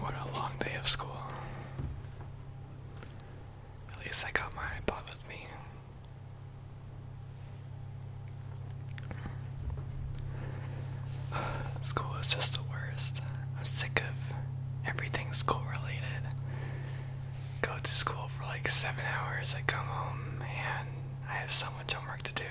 What a long day of school. At least I got my iPod with me. School is just the worst. I'm sick of everything school related. Go to school for like seven hours, I come home, and I have so much homework to do.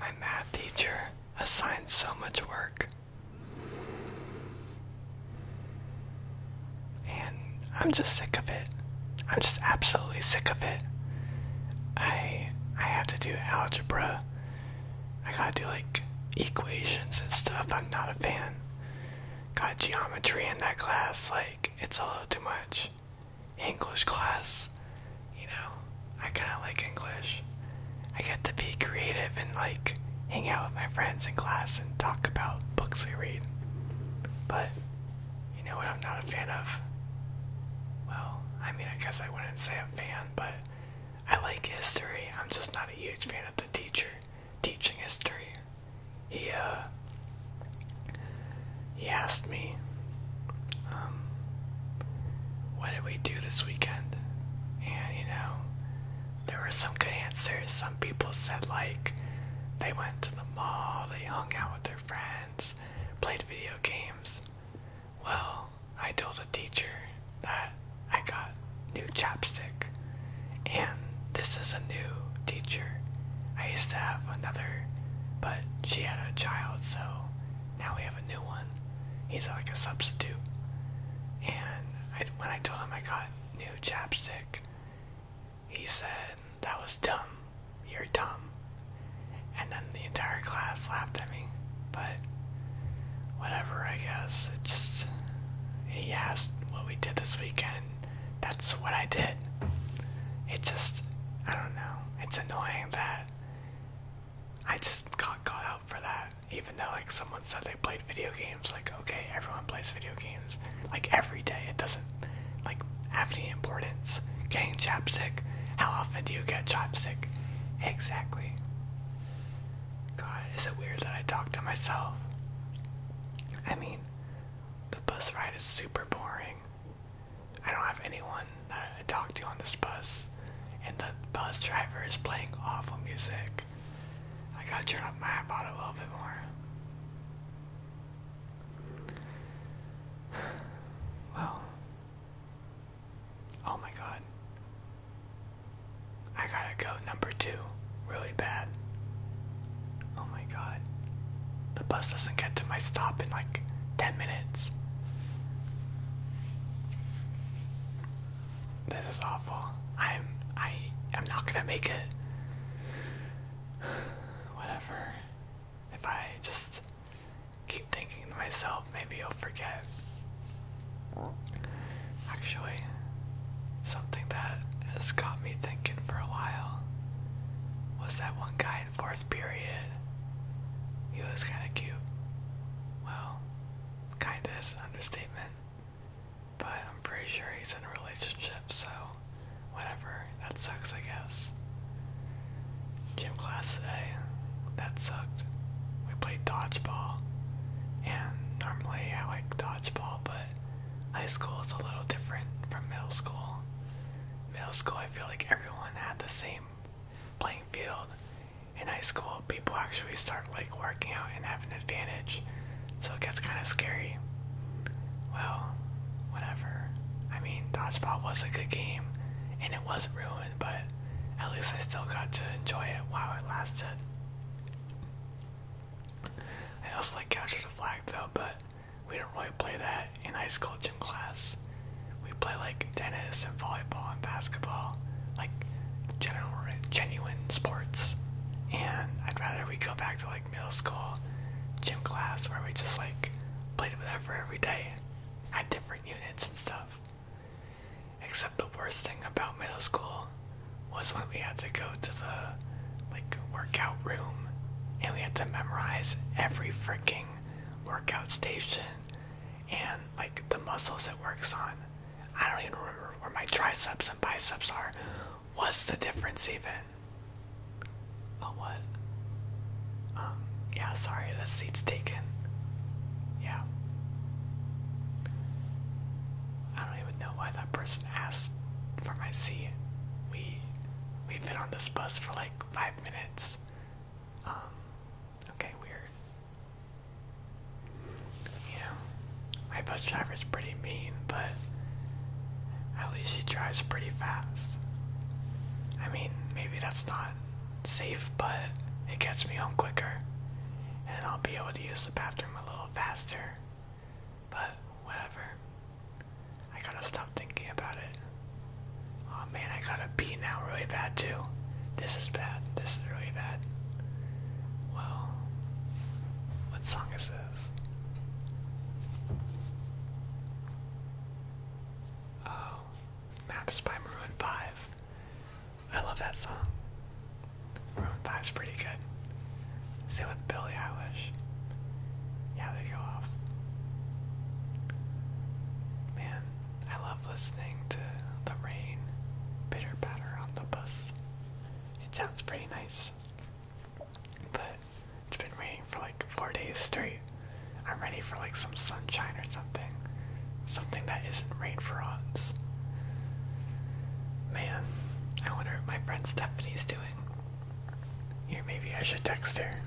My math teacher assigns so much work. And I'm just sick of it. I'm just absolutely sick of it. I I have to do algebra I gotta do like equations and stuff. I'm not a fan. Got geometry in that class, like, it's a little too much. English class, you know, I kinda like English. I get to be creative and like hang out with my friends in class and talk about books we read. But you know what I'm not a fan of? Well, I mean, I guess I wouldn't say a fan, but I like history. I'm just not a huge fan of the teacher teaching history. He uh he asked me um what did we do this weekend? And you know, there were some good answers. Some people said like they went to the mall, they hung out with their friends, played video games. Well, I told the teacher that I got new chapstick, and this is a new teacher. I used to have another, but she had a child, so now we have a new one. He's like a substitute. And when I told him I got new chapstick, he said, That was dumb. You're dumb and then the entire class laughed at me. But whatever, I guess. It just he asked what we did this weekend. That's what I did. It just I don't know. It's annoying that I just got caught out for that. Even though like someone said they played video games, like okay, everyone plays video games. Like every day. It doesn't like have any importance. Getting chopstick. How often do you get chopstick? Exactly. God, is it weird that I talk to myself? I mean, the bus ride is super boring. I don't have anyone that I talk to on this bus, and the bus driver is playing awful music. I gotta turn up my iPod a little bit more. Well, Oh my god. I gotta go number two. Really bad. Oh my god. The bus doesn't get to my stop in like 10 minutes. This is awful. I'm I am not gonna make it. Whatever. If I just keep thinking to myself, maybe I'll forget. Actually, something that has got me thinking for a while was that one guy in fourth period. He was kind of cute. Well, kind of is understatement. But I'm pretty sure he's in a relationship, so whatever. That sucks, I guess class. Gym class today. That sucked. We played dodgeball. And normally I like dodgeball, but high school is a little different from middle school. Middle school, I feel like everyone had the same playing field. In high school, people actually start like working out and have an advantage, so it gets kind of scary. Well, whatever. I mean, dodgeball was a good game, and it was not ruined, but at least I still got to enjoy it while it lasted. I also like Capture the Flag though, but we don't really play that in high school gym class. We play like tennis and volleyball and basketball, like general, genuine sports. And I'd rather we go back to like middle school gym class where we just like played whatever every day, had different units and stuff. Except the worst thing about middle school was when we had to go to the like workout room and we had to memorize every freaking workout station and like the muscles it works on. I don't even remember where my triceps and biceps are. What's the difference even? Oh, what? Um, yeah, sorry, the seat's taken. Yeah. I don't even know why that person asked for my seat. We we've been on this bus for like five minutes. Um, okay, weird. You know, my bus driver is pretty mean, but at least she drives pretty fast. I mean, maybe that's not safe, but it gets me home quicker. And I'll be able to use the bathroom a little faster. But whatever. I gotta stop thinking about it. Oh man, I gotta pee now really bad too. This is bad. This is really bad. Well, what song is this? Oh, Maps by Maroon 5. I love that song. Maroon 5's pretty good. Same with Billie Eilish. Yeah, they go off. Man, I love listening to the rain pitter patter on the bus. It sounds pretty nice. But it's been raining for like four days straight. I'm ready for like some sunshine or something. Something that isn't rain for once. Man, I wonder what my friend Stephanie's doing. Here, maybe I should text her.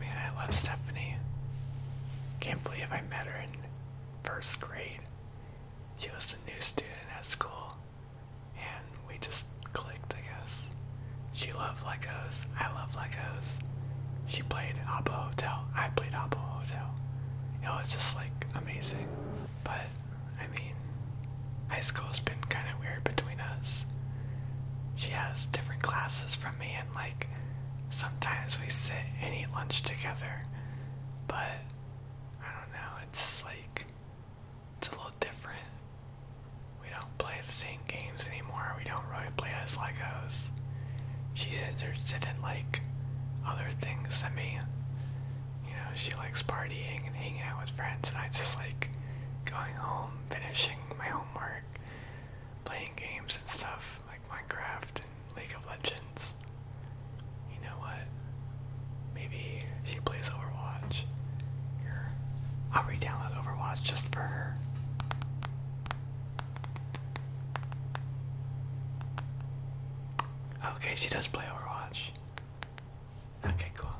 Man, I love Stephanie. Can't believe I met her in first grade. She was a new student at school, and we just clicked, I guess. She loved Legos. I love Legos. She played Hobo Hotel. I played Hobo Hotel. know, it's just like amazing. But, I mean, high school's been kind of weird between us. She has different classes from me, and like, sometimes we sit and eat lunch together. But, I don't know, it's just like, it's a little different. We don't play the same games anymore, we don't really play as Legos. She's interested in like other things than me you know, she likes partying and hanging out with friends, and I just like going home, finishing my homework, playing games and stuff like Minecraft and League of Legends. You know what? Maybe she plays Overwatch. I'll re-download Overwatch just for her. Okay, she does play Overwatch. Okay, cool.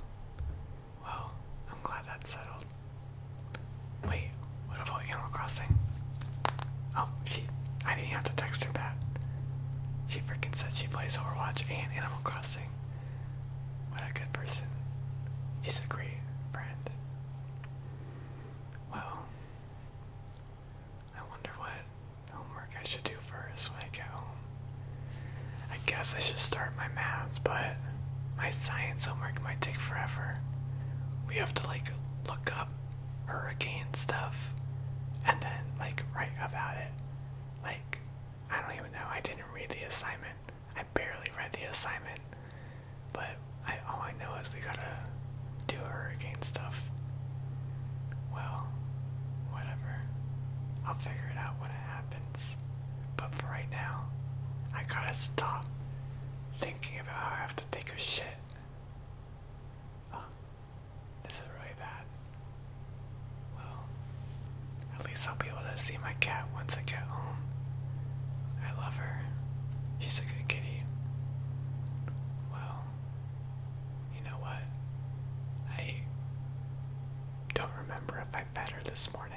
Well, I'm glad that's settled. Wait, what about Animal Crossing? Oh, she. I didn't have to text her back. She freaking said she plays Overwatch and Animal Crossing. What a good person. She's a great friend. Well, I wonder what homework I should do first when I get home. I guess I should start my math, but my science homework might take forever. We have to like look up hurricane stuff and then like write about it. Like, I don't even know. I didn't read the assignment. I barely read the assignment. But I all I know is we gotta do hurricane stuff. Well, whatever. I'll figure it out when it happens. But for right now, I gotta stop thinking about how I have to take a shit. this is really bad. Well, at least I'll be able to see my cat once I get home. I love her. She's a good kitty. Well, you know what? I don't remember if I fed her this morning.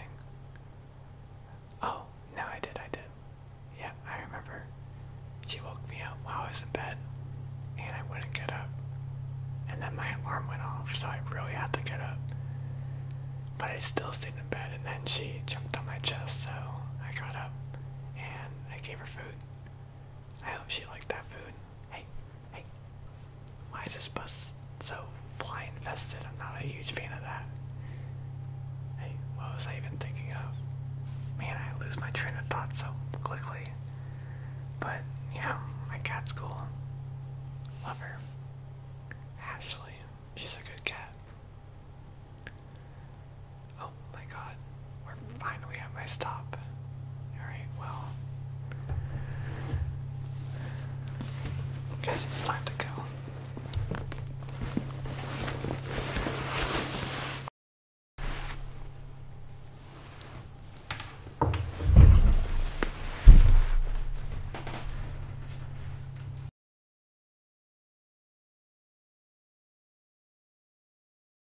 Oh, no, I did, I did. Yeah, I remember. She woke me up while I was in bed, and I wouldn't get up. And then my alarm went off, so I really had to get up. But I still stayed in bed, and then she jumped on my chest, so I got up and I gave her food. I hope she liked that food. Hey, hey, why is this bus so fly infested? I'm not a huge fan of that. Hey, what was I even thinking of? Man, I lose my train of thought so quickly. But yeah, my cat's cool. Love her. Ashley, she's a good cat. Oh, my god. We're finally at my stop. Alright, well. Guess it's time to go.